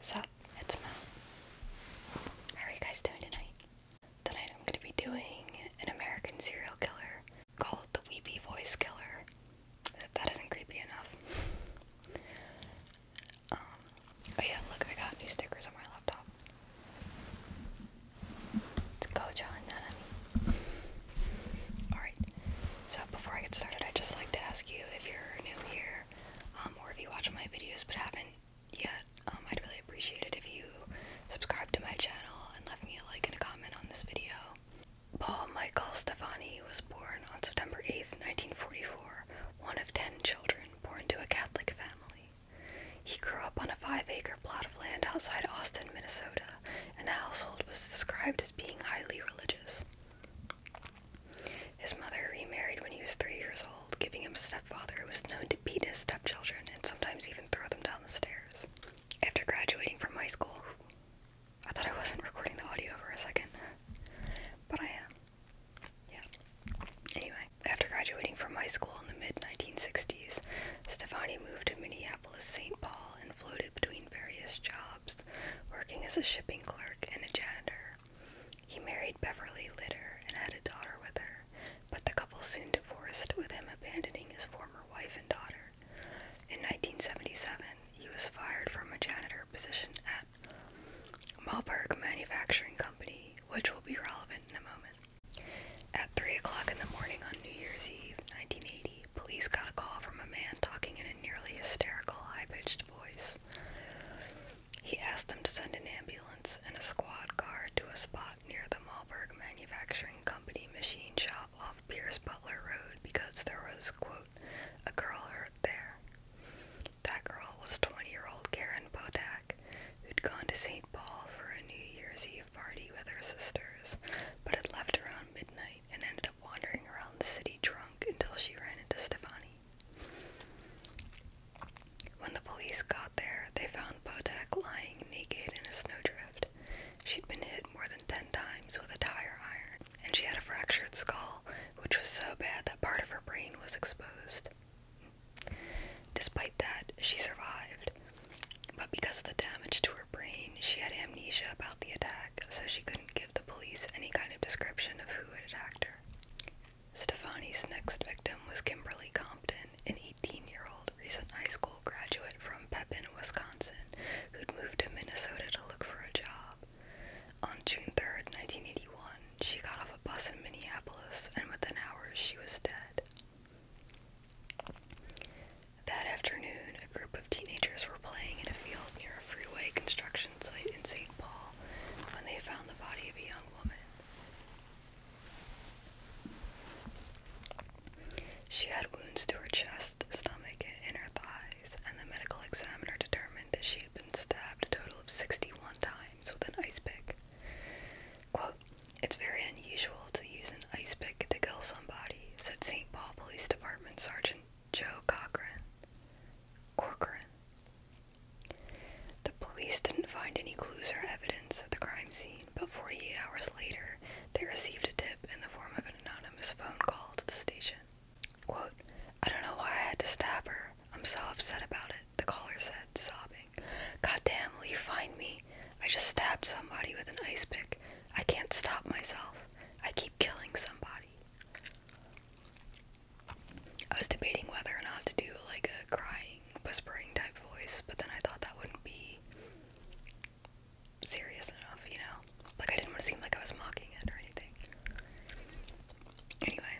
So, it's me. How are you guys doing tonight? Tonight I'm going to be doing an American serial killer called the Weepy Voice Killer. If that isn't creepy enough. oh yeah, look, I got new stickers on my laptop. It's Gojo and Nanami. Alright, so before I get started, I'd just like to ask you if you're new here um, or if you watch my videos but haven't yet, um, I'd really appreciate it if you subscribe to my channel and left me a like and a comment on this video. Paul Michael Stefani was born on September 8th, 1944, one of ten children born to a Catholic family. He grew up on a five-acre plot of land outside Austin, Minnesota, and the household was described as being highly religious. His mother remarried when he was three years old, giving him a stepfather who was known to beat his stepchildren and sometimes even throw them down the stairs. After graduating from high school, I thought I wasn't recording the audio for a second, but I am. Yeah. Anyway, after graduating from high school in the mid 1960s, Stefani moved to Minneapolis St. Paul and floated between various jobs working as a shipping clerk and a janitor. He married Beverly Litter and had a daughter with her, but the couple soon divorced, with him abandoning his former wife and daughter. In 1977, he was fired from a janitor position at Malberg Manufacturing Company, which will be relevant in a moment. At 3 o'clock in the morning on New Year's Eve, 1980, police got a call from a man talking in a nearly hysterical, high pitched hushed voice. He asked them to send an ambulance and a squad car to a spot near the Malberg Manufacturing Company machine shop off Pierce Butler Road because there was, quote, a girl hurt there. That girl was 20 year old Karen Potak, who'd gone to St. Paul for a New Year's Eve party with her sisters, but had left around midnight and ended wandering around the city drunk until she ran into Stefani. When the police got there, they found Potek lying naked in a snowdrift. She'd been hit more than ten times with a tire iron, and she had a fractured skull, which was so bad that part of her brain was exposed. Despite that, she survived, but because of the damage to her brain, she had amnesia about the attack, so she couldn't give the police any kind of description of who had attacked her. Stefani's next victim was Kimberly Compton, an 18-year-old recent high school graduate from Pepin, Wisconsin, who'd moved to Minnesota to look for a job. On June 3, 1981, she got off a bus in Minneapolis, and within hours she was dead. That afternoon, a group of teenagers were playing in a field near a freeway construction site in St. Paul when they found the body of a young woman. She had wounds to her chest, stomach, and inner thighs, and the medical examiner determined that she had been stabbed a total of 61 times with an ice pick. Quote, it's very unusual to use an ice pick to kill somebody, said St. Paul Police Department Sergeant Joe Cochran. Corcoran. The police didn't find any clues or evidence at the crime scene, but 48 hours later, they received a tip in the form of an anonymous phone call to the station. Quote, I don't know why I had to stab her. I'm so upset about it, the caller said, sobbing. Goddamn, will you find me? I just stabbed somebody with an ice pick. I can't stop myself. I keep killing somebody. I was debating whether or not to do like a crying, whispering type voice, but then I thought that wouldn't be serious enough, you know? Like, I didn't want to seem like I was mocking it or anything. Anyway,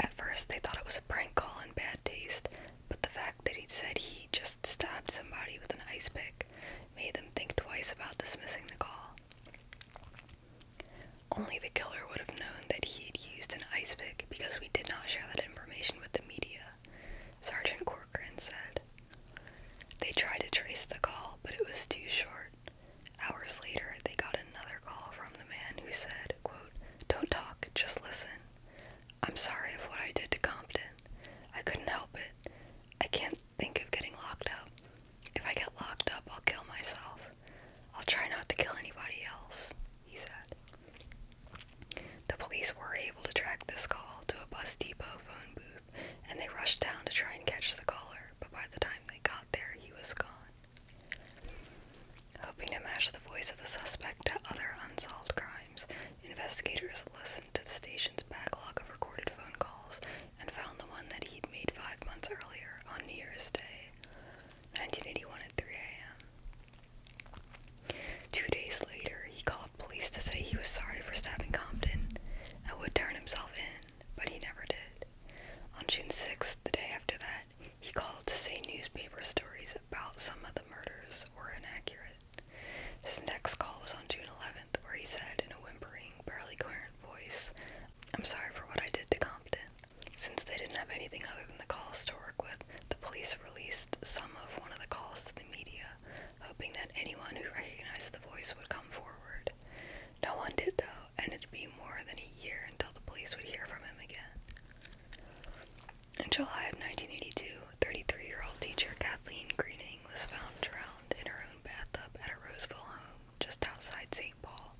at first they thought it was a prank call in bad taste, but the fact that he said he just stabbed somebody with an ice pick made them think twice about dismissing the call. Only the killer would have known that he had used an ice pick because we did not share that information with the media, Sergeant Corcoran said. They tried to trace the call, but it was too short. Hours later, they got another call from the man who said, quote, Don't talk, just listen. I'm sorry for what I did to Compton. I couldn't help it. I can't think of getting locked up. If I get locked up, I'll kill myself. I'll try not to kill anybody else, he said. The police were able to track this call to a bus depot phone booth, and they rushed down to try and catch the caller, but by the time they got there, he was gone. Hoping to match the voice of the suspect to other unsolved crimes, Investigators listened to the station's backlog of recorded phone calls and found the one that he'd made five months earlier on New Year's Day, 1981 at 3 a.m. Two days later, he called police to say he was sorry for stabbing Compton and would turn himself in, but he never did. On June 6th, the day after that, he called to say newspaper stories about some of the murders were inaccurate. His next call was on June 11th, where he said in a whimpering, barely coherent voice, I'm sorry for what I did to Compton. Since they didn't have anything other than the calls to work with, the police released some of one of the calls to the media, hoping that anyone who recognized the voice would come forward. No one did, though, and it'd be more than a year until the police would hear from him again. In July of 1982, 33-year-old teacher Kathleen Greening was found drowned in her own bathtub at a Roseville home just outside St. Paul.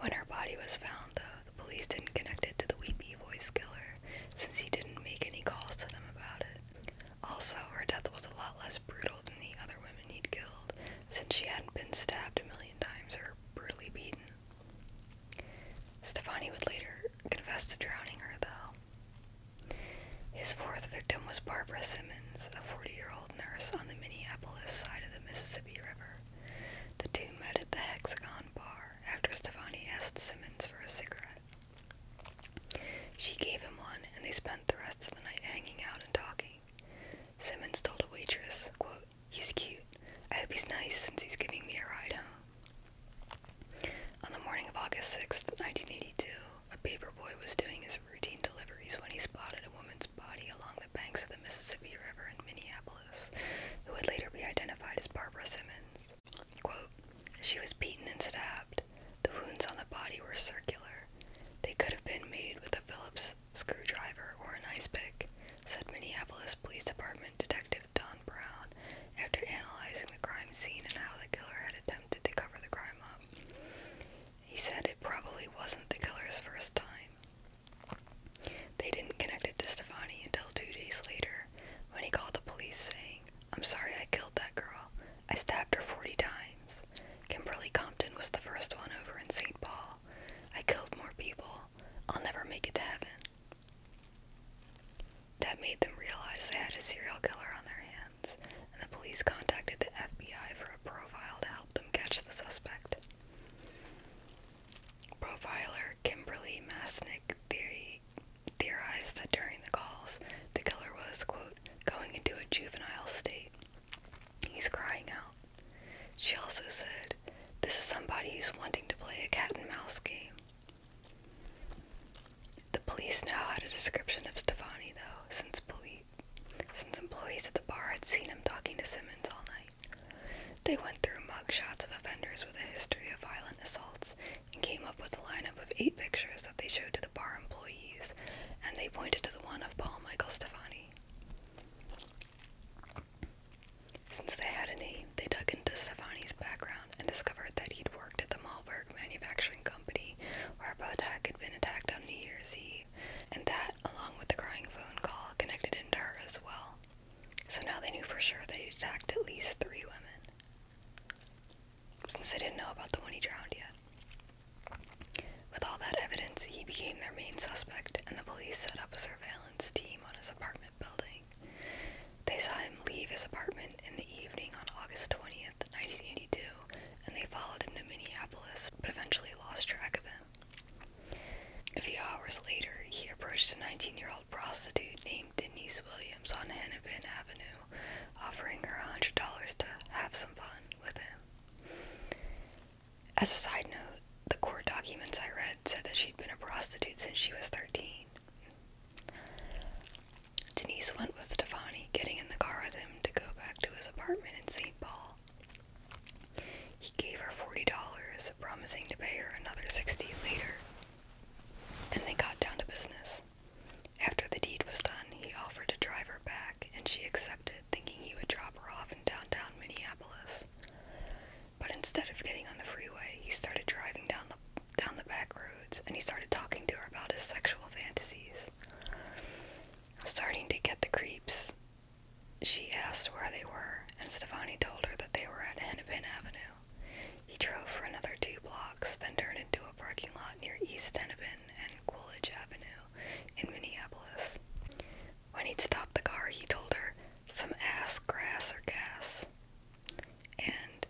When her body was found, though, the police didn't connect it to the Weepy voice killer since he didn't make any calls to them about it. Also, her death was a lot less brutal than the other women he'd killed since she hadn't been stabbed a million times or brutally beaten. Stefani would later confess to drowning her, though, his fourth victim was Barbara Simmons, a 40 year old nurse on the Minneapolis side of the Mississippi River. The two met at the Hexagon Bar after Stefani asked Simmons for a cigarette. She gave him one, and they spent the rest of the night hanging out and talking. Simmons told a waitress, quote, He's cute. I hope he's nice since he's giving me a ride home. On the morning of August 6, 1982, a paper boy was doing his routine deliveries when he spotted a woman's body along the banks of the Mississippi River in Minneapolis, who would later be identified as Barbara Simmons. Quote, she was beaten and stabbed. The wounds on the body were circular. They could have been made with a Phillips screwdriver or an ice pick, said Minneapolis Police Department Detective Don Brown after analyzing the crime scene and how the killer had attempted to cover the crime up. He said it probably wasn't the killer's first time. They didn't connect it to Stefani until two days later when he called the police saying, I'm sorry I killed that girl. I stabbed her 40 times. Kimberly Compton was the first one over in St. Paul. I killed more people. I'll never make it to heaven. That made them realize they had a serial killer on their hands, and the police contacted the FBI for a profile to help them catch the suspect. Profiler Kimberly Masnick theorized that during the calls, the killer was, quote, going into a juvenile state. He's crying out. She also said, This is somebody who's wanting to play a cat and mouse game. The police now had a description of Stefani, though, since police, since employees at the bar had seen him talking to Simmons all night. They went through mugshots of offenders with a history of violent assaults and came up with a lineup of eight pictures that they showed to the bar employees, and they pointed to the one of Paul Michael Stefani. Since they had a name, they dug into Stefani's background and discovered that he'd worked at the Malberg Manufacturing Company, where a attack had been attacked on New Year's Eve, and that, along with the crying phone call, connected him to her as well. So now they knew for sure that he'd attacked at least three women, since they didn't know about the one he drowned yet. With all that evidence, he became their main suspect, and the police set up a surveillance team on his apartment building. They saw him leave his apartment in the evening on August 20th, 1982, and they followed him to Minneapolis but eventually lost track of him. A few hours later, he approached a 19 year old prostitute named Denise Williams on Hennepin Avenue, offering her $100 to have some fun with him. As a side note, the court documents I read said that she'd been a prostitute since she was 13, Denise went with Stefani, getting in the car with him to go back to his apartment in St. Paul. He gave her $40, promising to pay her another 60 later, and they got down to business. After the deed was done, he offered to drive her back, and she accepted, thinking he would drop her off in downtown Minneapolis. But instead of getting on the freeway, he started driving down the down the back roads and he started talking to her about his sexual fantasies. Starting to get the creeps, she asked where they were, and Stefani told her that they were at Hennepin Avenue. He drove for another two blocks, then turned into a parking lot near East Hennepin and Coolidge Avenue in Minneapolis. When he'd stopped the car, he told her, Some ass, grass, or gas and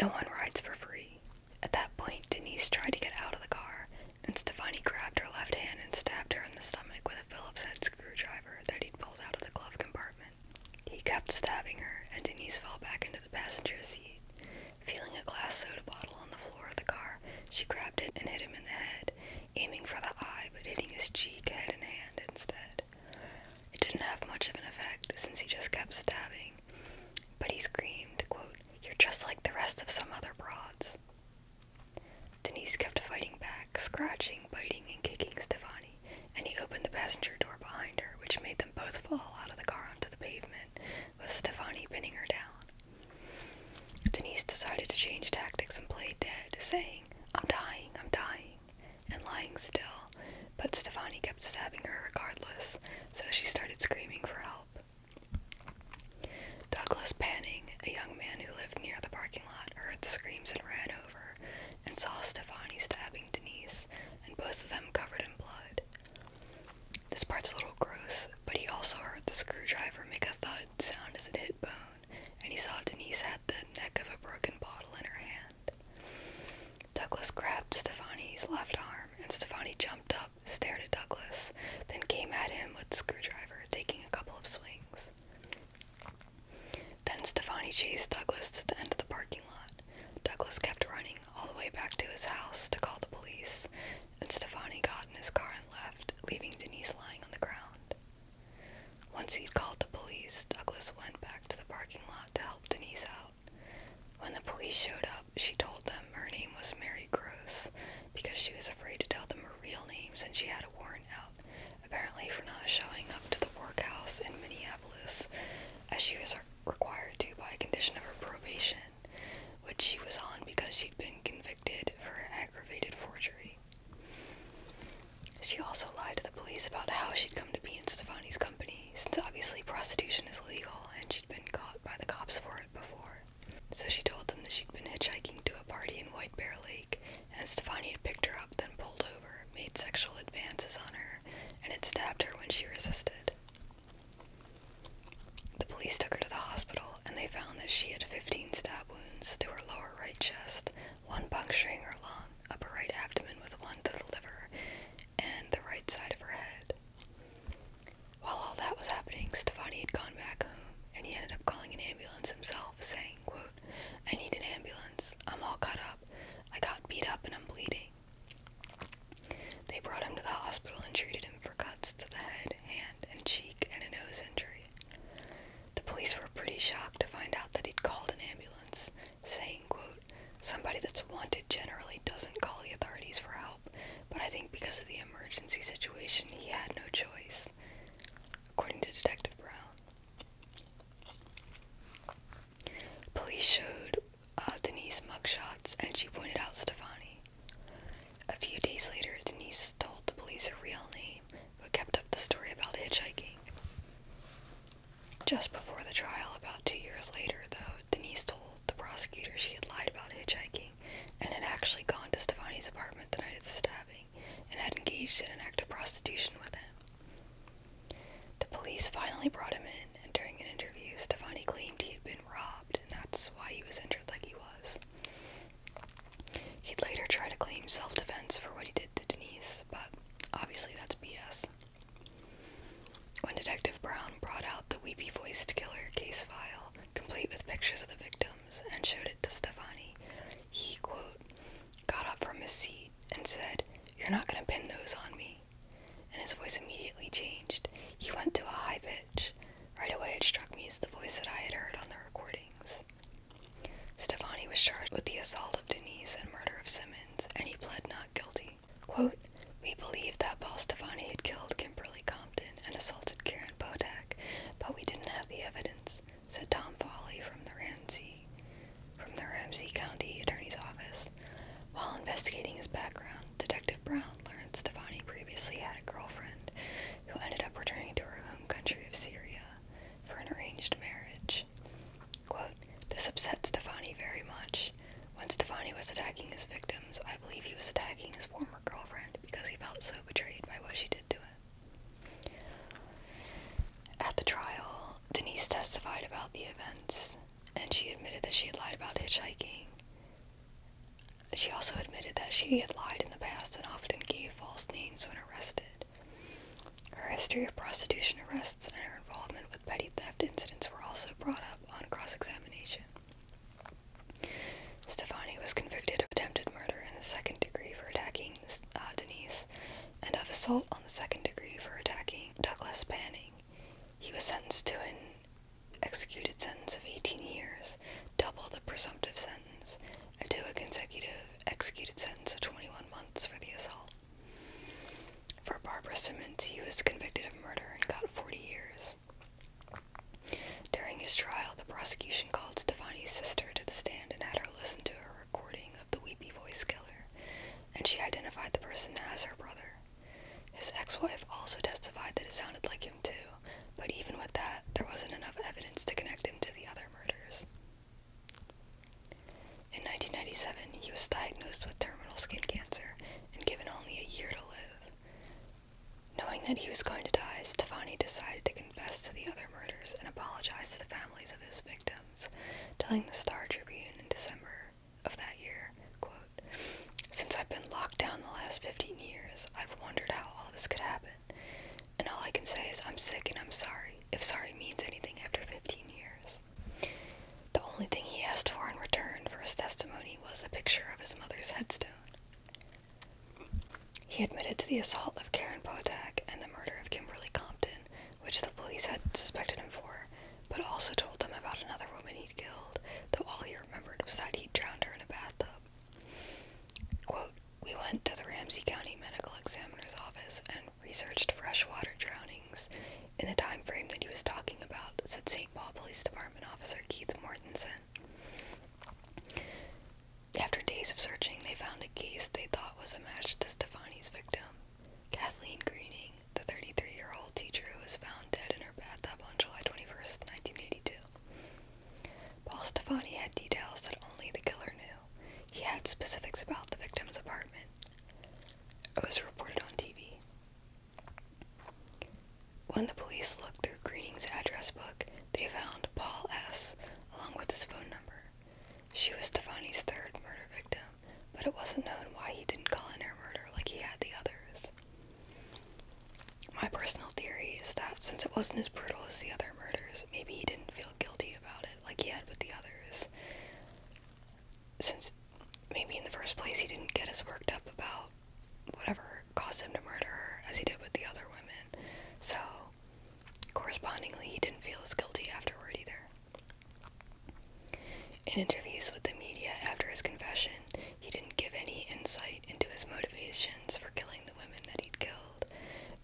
no one rides for free. At that point, Denise tried to get out of the car, and Stefani grabbed her left hand and stabbed her in the stomach with a Phillips head screwdriver that he'd pulled out of the glove compartment. He kept stabbing her, and Denise fell back into the passenger seat. Feeling a glass soda bottle on the floor of the car, she grabbed it and hit him in the head, aiming for the eye but hitting his cheek, head, and hand instead. It didn't have much of an effect since he just kept stabbing, but he screamed, You're just like the rest of some other broads. Denise kept fighting back, scratching, biting, and kicking Stefani, and he opened the passenger door behind her, which made them both fall out of the car onto the pavement, with Stefani pinning her down. Denise decided to change tactics and play dead, saying, I'm dying, I'm dying and lying still, but Stefani kept stabbing her regardless, so she started screaming for help. Douglas Panning, a young man who lived near the parking lot, heard the screams and ran over and saw Stefani stabbing Denise, and both of them covered in blood. This part's a little gross, but he also heard the screwdriver make a thud sound as it hit bone and he saw Denise had the neck of a broken bottle in her hand. Douglas grabbed Stefani's left arm, and Stefani jumped up, stared at Douglas, then came at him with the screwdriver, taking a couple of swings. Then Stefani chased Douglas to the end of the parking lot. Douglas kept running all the way back to his house to call the police, and Stefani got in his car and left, leaving Denise lying on the ground. Once he'd called the police, Douglas went back to the parking lot to help Denise out. When the police showed up, she told them her name was Mary Gross because she was afraid to tell them her real name since she had a warrant out, apparently for not showing up to the workhouse in Minneapolis, as she was required to by condition of her probation, which she was on because she'd been convicted for aggravated forgery. She also lied to the police about how she'd come to be in Stefani's company, since obviously prostitution is illegal and she'd been caught by the cops for it before. So she told them that she'd been hitchhiking to a party in White Bear Lake, and Stefani had picked her up, then pulled over, made sexual advances on her, and had stabbed her when she resisted. The police took her to the hospital, and they found that she had 15 stab wounds to her lower right chest, one puncturing her lung, upper right abdomen with one to the liver, and the right side of her head. While all that was happening, Stefani had gone back home, and he ended up calling an ambulance himself, saying, quote, I need an ambulance. I'm all cut up. I got beat up and I'm bleeding. They brought him to the hospital and treated him for cuts to the head, hand, and cheek, and a nose injury. The police were pretty shocked to find out that he'd called an ambulance, saying, quote, Somebody that's wanted generally doesn't call the authorities for help, but I think because of the emergency situation, he had no choice, according to Detective Brown. Police showed uh, Denise mugshots, and she pointed out Stefani. A few days later, Denise told the police her real name but kept up the story about hitchhiking. Just before the trial, about two years later, though, Denise told the prosecutor she had lied about hitchhiking and had actually gone to Stefani's apartment the night of the stabbing and had engaged in an act of prostitution with him. The police finally brought him in, and during an interview, Stefani claimed he had been robbed, and that's why he was injured like he was. He'd later try to claim self defense for what he did to Denise, but obviously that's BS. When Detective Brown brought out the weepy voiced killer case file, complete with pictures of the victims, and showed it to Stefani, he, quote, got up from his seat and said, You're not going to pin those on me. And his voice immediately changed. He went to a high pitch. Right away, it struck me as the voice that I had heard on the recordings. Stefani was charged with the assault of Denise and murder of Simmons, and he pled not guilty. Quote, We believe that Paul Stefani had killed Kimberly Compton and assaulted Karen Potak, but we didn't have the evidence, said Tom Foley from the Ramsey from the Ramsey County Attorney's Office. While investigating his background, Detective Brown learned Stefani previously had a girlfriend who ended up returning to her home country of Syria for an arranged marriage. this upset Stefani very much. When Stefani was attacking his victims, I believe he was attacking his former girlfriend because he felt so betrayed by what she did to him. At the trial, Denise testified about the events, and she admitted that she had lied about hitchhiking, she also admitted that she had lied in the past and often gave false names when arrested. Her history of prostitution arrests and her involvement with petty theft incidents were also brought up on cross examination. Stefani was convicted of attempted murder in the second degree for attacking uh, Denise and of assault on the second degree for attacking Douglas Panning. He was sentenced to an executed sentence of 18 years, double the presumptive sentence to a consecutive executed sentence of 21 months for the assault. For Barbara Simmons, he was convicted of murder and got 40 years. During his trial, the prosecution called Stefani's sister to the stand and had her listen to a recording of the Weepy Voice Killer, and she identified the person as her brother. His ex wife also testified that it sounded like him him but even with that, there wasn't enough evidence to connect him to the other murders. In 1997, he was diagnosed with terminal skin cancer and given only a year to live. Knowing that he was going to die, Stefani decided to confess to the other murders and apologize to the families of his victims, telling the Star Tribune in December of that year, quote, since I've been locked down the last 15 years, I've wondered how all this could happen. And all I can say is I'm sick and I'm sorry, if sorry means anything after 15 years. The only thing he asked for in return for his testimony was a picture of his mother's headstone. He admitted to the assault of Karen Potak and the murder of Kimberly Compton, which the police had suspected him for, but also told them about another woman he'd killed, though all he remembered was that he'd drowned her in a bathtub. Quote, we went to the Ramsey County Medical Examiner's Office and researched freshwater drownings in the time frame that he was talking about, said St. Paul Police Department Officer Keith Mortensen. After days of searching, they found a case they thought was a match to Stefani's victim. Kathleen Greening, the 33 year old teacher who was found dead in her bathtub on July twenty-first, 1982. Paul Stefani had details that only the killer knew. He had specifics about the victim's apartment. It was reported on TV. When the police looked through Greening's address book, they found Paul S. along with his phone number. She was Stefani's third murder victim, but it wasn't known why he didn't call in her murder like he had the others. My personal theory is that since it wasn't as brutal as the other murders, maybe he didn't feel guilty about it like he had with the others. Since maybe in the first place he didn't get as worked up about whatever caused him to murder her as he did with the other women. So, correspondingly, he didn't feel as guilty afterward either. In interviews with the media after his confession, he didn't give any insight insight into his motivations for killing the women that he'd killed,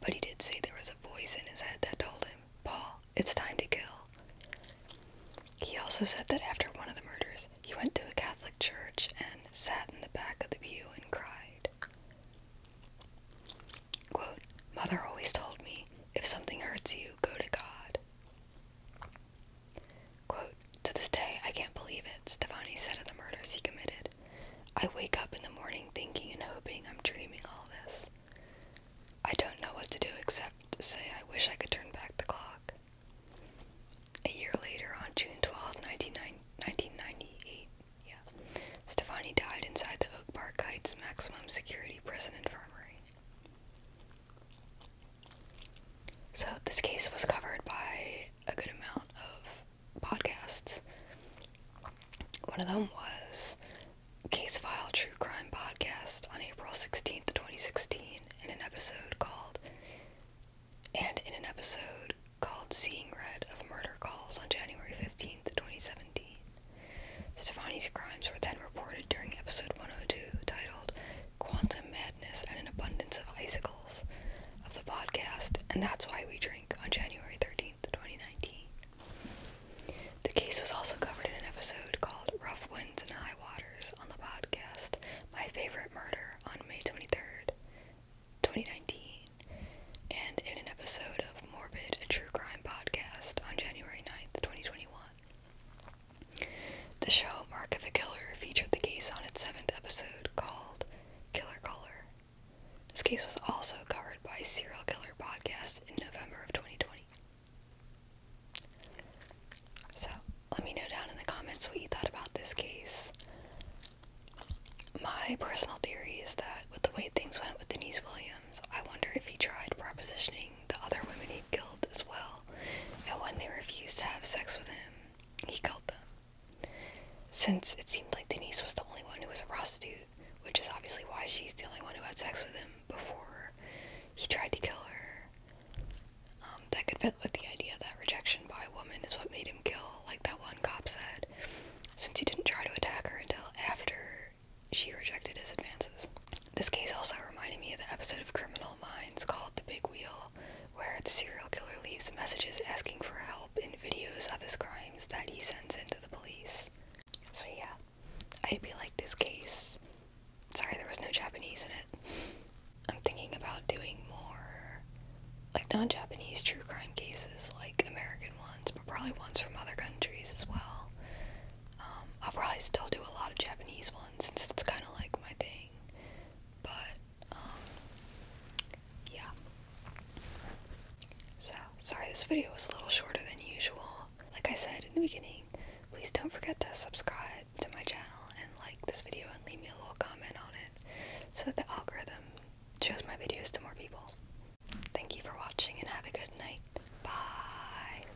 but he did say there was a voice in his head that told him, Paul, it's time to kill. He also said that after one of the murders, he went to a Catholic church and sat in the back of the pew and cried. Quote, Mother always told me, if something hurts you, go to God. To this day, I can't believe it, Stefani said of the murders he committed. I wake up in the morning thinking and hoping I'm dreaming all this. I don't know what to do except say I wish I could turn back the clock. A year later, on June twelfth, nineteen nine, 1998, yeah, Stefani died inside the Oak Park Heights Maximum Security Prison Infirmary. So, this case was covered by a good amount of podcasts. One of them was Case File True Crime Podcast on April 16th, 2016, in an episode called, and in an episode called Seeing Red of Murder Calls on January 15th, 2017. Stefani's crimes were then reported during episode 102, titled quantum madness and an abundance of icicles of the podcast, and that's why we drink on January 13th, 2019. The case was also covered in an episode called Rough Winds and High Waters on the podcast My Favorite Murder on May 23rd, 2019, and in an episode of Morbid, a True Crime podcast on January 9th, 2021. The show Mark of a Killer featured the case on its seventh episode called Killer Caller. This case was also covered by Serial Killer Podcast in November of 2020. So, let me know down in the comments what you thought about this case. My personal theory is that with the way things went with Denise Williams, I wonder if he tried propositioning the other women he killed as well, and when they refused to have sex with him, he killed them. Since it seemed like Denise was the only one who was a prostitute, which is obviously why she's the only one who had sex with him before he tried to kill her, um, that could fit with the idea that rejection by a woman is what made him kill, like that one cop said, since he didn't try to attack her until after she rejected his advances. This case also reminded me of the episode of Criminal Minds called The Big Wheel, where the serial killer leaves messages asking for help in videos of his crimes that he sends into the police. So, yeah, I would be like this case. Sorry there was no Japanese in it. I'm thinking about doing more, like, non Japanese true crime cases, like American ones, but probably ones from other countries as well. Um, I'll probably still do a lot of Japanese ones since it's kind of like my thing. But, um, yeah. So, sorry this video was a little shorter than usual. Like I said in the beginning, please don't forget to subscribe to my channel and like this video and leave me a little comment on it so that the algorithm shows my videos to more people. Thank you for watching and have a good night. Bye.